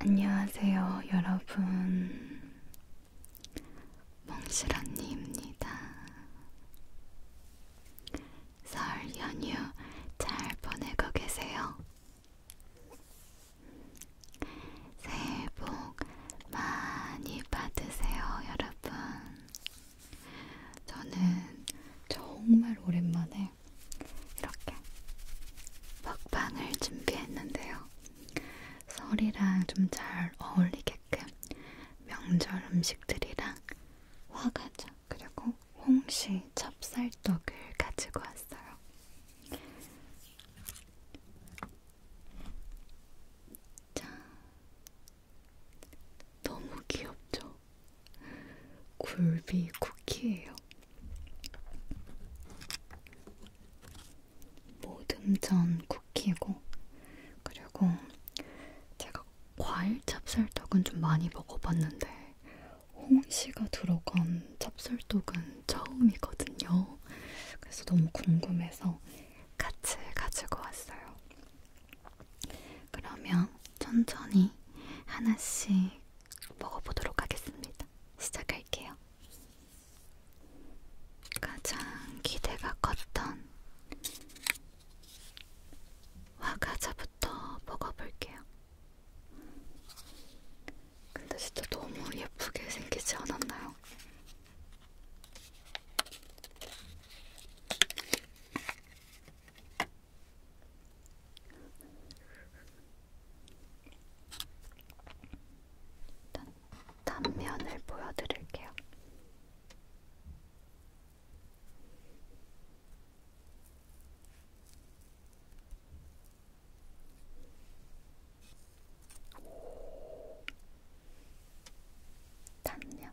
안녕하세요, 여러분. 멍실 언니입니다. 설 연휴 잘 보내고 계세요? 새해 복 많이 받으세요, 여러분. 저는 정말 오랜만에 이렇게 먹방을 준비했는데요. 설이랑 좀 잘 어울리게끔 명절 음식들이랑 화과자 그리고 홍시 찹쌀떡을 가지고 왔어요. 자, 너무 귀엽죠? 굴비 쿠키예요. 있어요. 모듬전 쿠키고 그리고 제가 과일 찹쌀떡은 좀 많이 먹어봤는데 홍시가 들어간 찹쌀떡은 처음이거든요. 그래서 너무 궁금해서 같이 가지고 왔어요. 그러면 천천히 하나씩 먹어보도록 하겠습니다. 시작할게요. 가장 기대가 컸던 화과자부터 먹어볼게요. 근데 진짜 너무 예쁘게 생기지 않았나요? 일단 단면을 보여드릴게요. 단면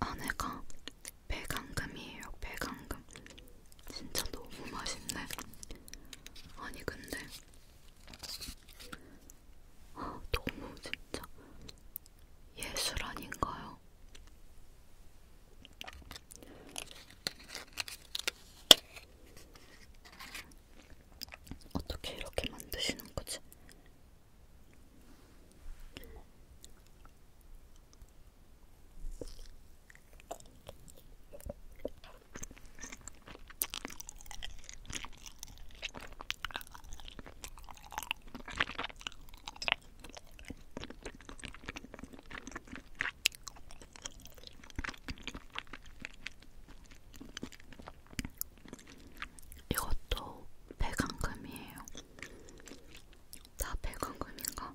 안에가 배강금이에요. 배강금. 진짜 너무 맛있네. 아니 근데 아, 너무 진짜 예술 아닌가요? 어떻게 이렇게 만드시는 거지? 이것도 백안금이에요. 다 백안금인가?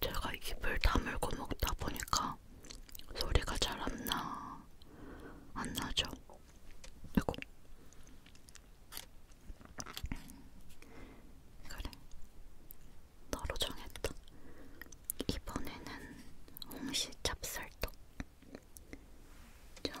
제가 입을 다물고 먹다 보니까 소리가 잘 안 나, 안 나죠? 아이고. 그래. 너로 정했다. 이번에는 홍시 찹쌀떡. 짠.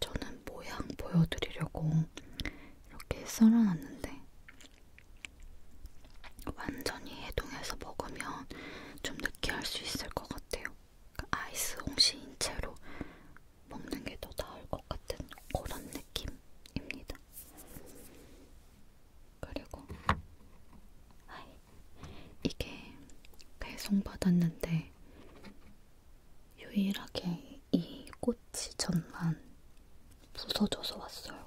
저는 모양 보여드리려고 이렇게 썰어놨는데 완전히 해동해서 먹으면 좀 느끼할 수 있을 것 같아요. 그러니까 아이스 홍시인 채로 먹는 게 더 나을 것 같은 그런 느낌입니다. 그리고 아이, 이게 배송받았는데 유일하게 이 꼬치 전만 부서져서 왔어요.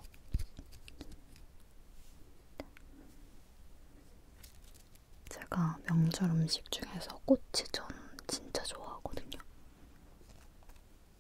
제가 명절 음식 중에서 꼬치전 진짜 좋아하거든요.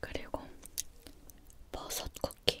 그리고 버섯 쿠키.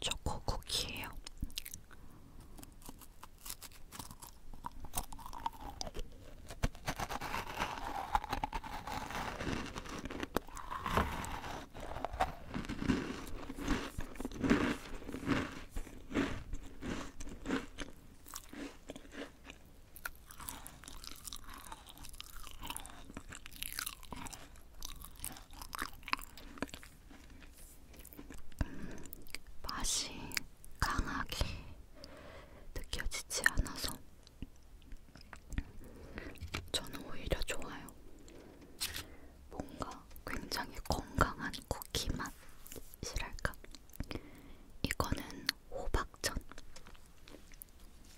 초코 쿠키예요. 맛이 강하게 느껴지지 않아서 저는 오히려 좋아요. 뭔가 굉장히 건강한 쿠키 맛이랄까? 이거는 호박전.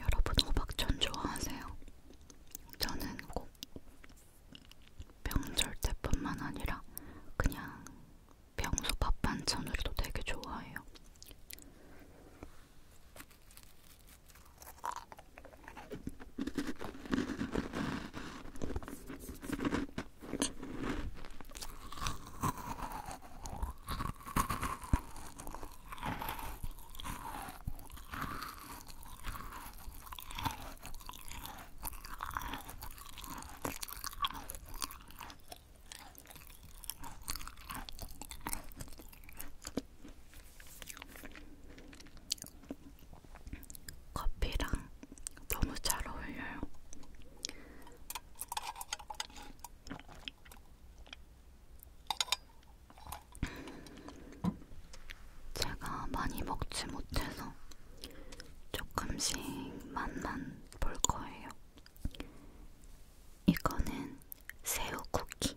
여러분 호박전 좋아하세요? 저는 꼭 명절 때뿐만 아니라 그냥 평소 밥 반찬으로도 되게 좋아해요. 커피랑 너무 잘 어울려요. 제가 많이 먹지 못해서 조금씩 맛만 볼 거예요. 이거는 새우 쿠키.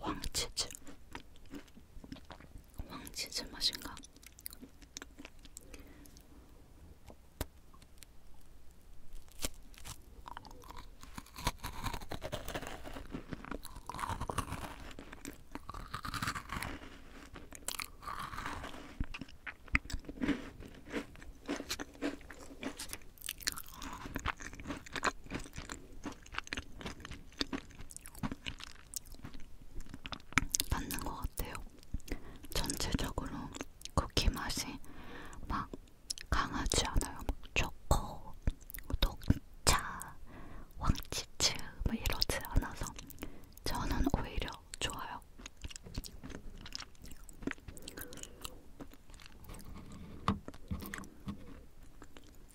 왕치즈 왕치즈 맛인가? 맞는 것 같아요. 전체적으로 쿠키 맛이 막 강하지 않아요. 막 초코, 녹차, 황치즈 뭐 이러지 않아서 저는 오히려 좋아요.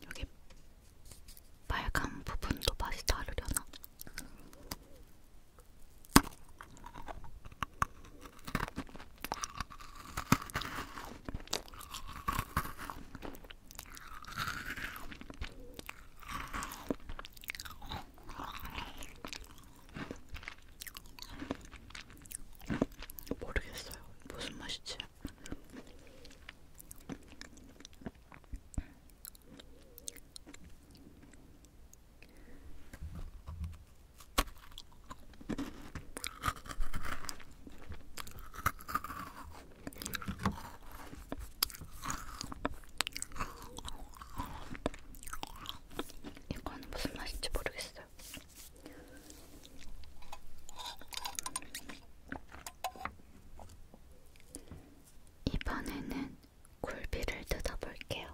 여기 빨간 부분도 맛이 다르려나? 모르겠어요. 무슨 맛이지? 맛있어요. 이거는 무슨 맛인지 모르겠어요. 이번에는 굴비를 뜯어볼게요.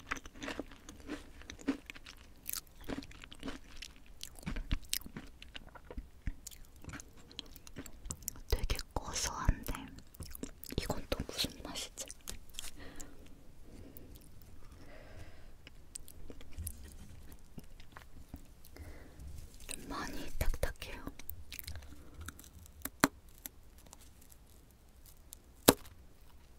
되게 고소한데 이건 또 무슨 맛이지? 좀 많이 딱딱해요.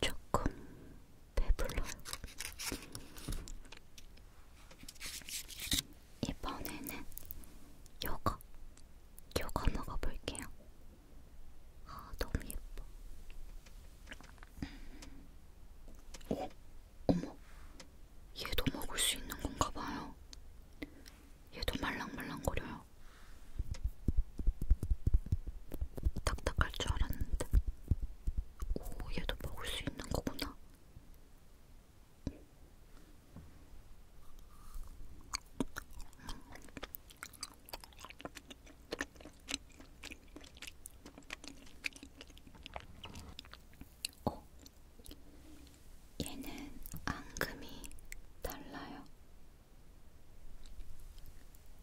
조금 배불러요. 이번에는 요거, 요거 먹어볼게요. 아, 너무 예뻐. 오, 어? 어머, 얘도 먹을 수 있는 건가 봐요. 얘도 말랑말랑거려요. 딱딱할 줄 알았는데 오 얘도 먹을 수 있는 거구나 어, 얘는 앙금이 달라요.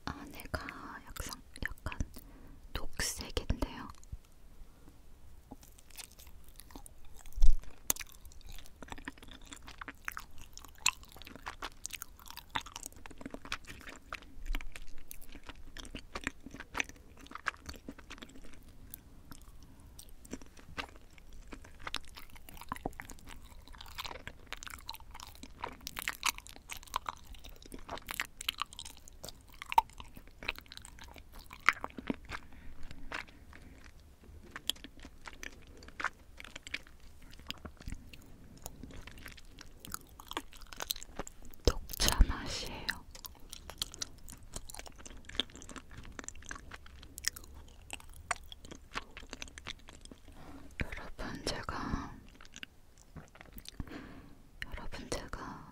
안에가 아, 약간, 약간 녹색인데요. 녹차 맛이에요. 여러분 제가 여러분 제가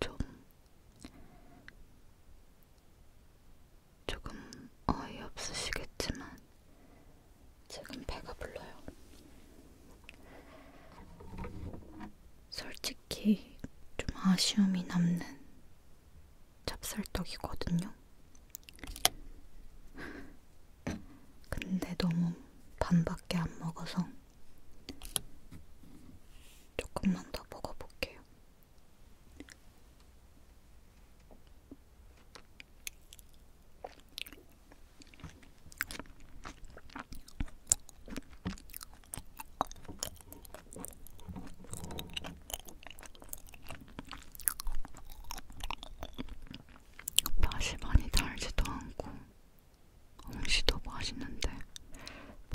좀 조금 어이없으시겠지만 지금 배가 불러요. 솔직히 좀 아쉬움이 남는 찹쌀떡이거든요. 근데 너무 반밖에 안 먹어서 조금만 더 먹어볼게요. 맛이 많이 달지도 않고 음식도 맛있는데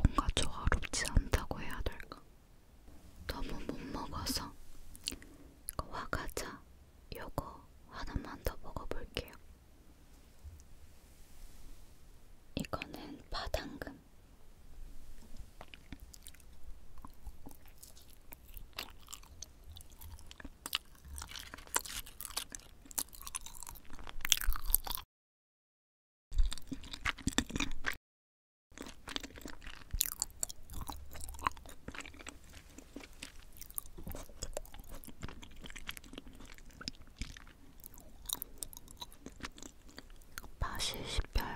뭔가 조화롭지 않다고 해야 될까? 너무 못 먹어서 화과자 요거 하나만 더 먹어볼게요. 이거는 바당금. 맛이 씹혀요.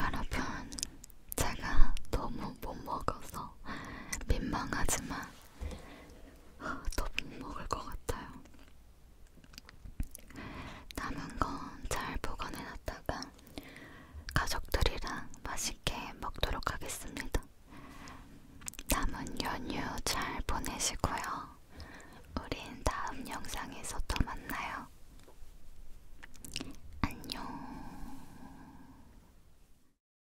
여러분, 제가 너무 못 먹어서 민망하지만 더못 먹을 것 같아요. 남은 건 잘 보관해놨다가 가족들이랑 맛있게 먹도록 하겠습니다. 남은 연휴 잘 보내시고요. 우린 다음 영상에서 또 만나요. 안녕.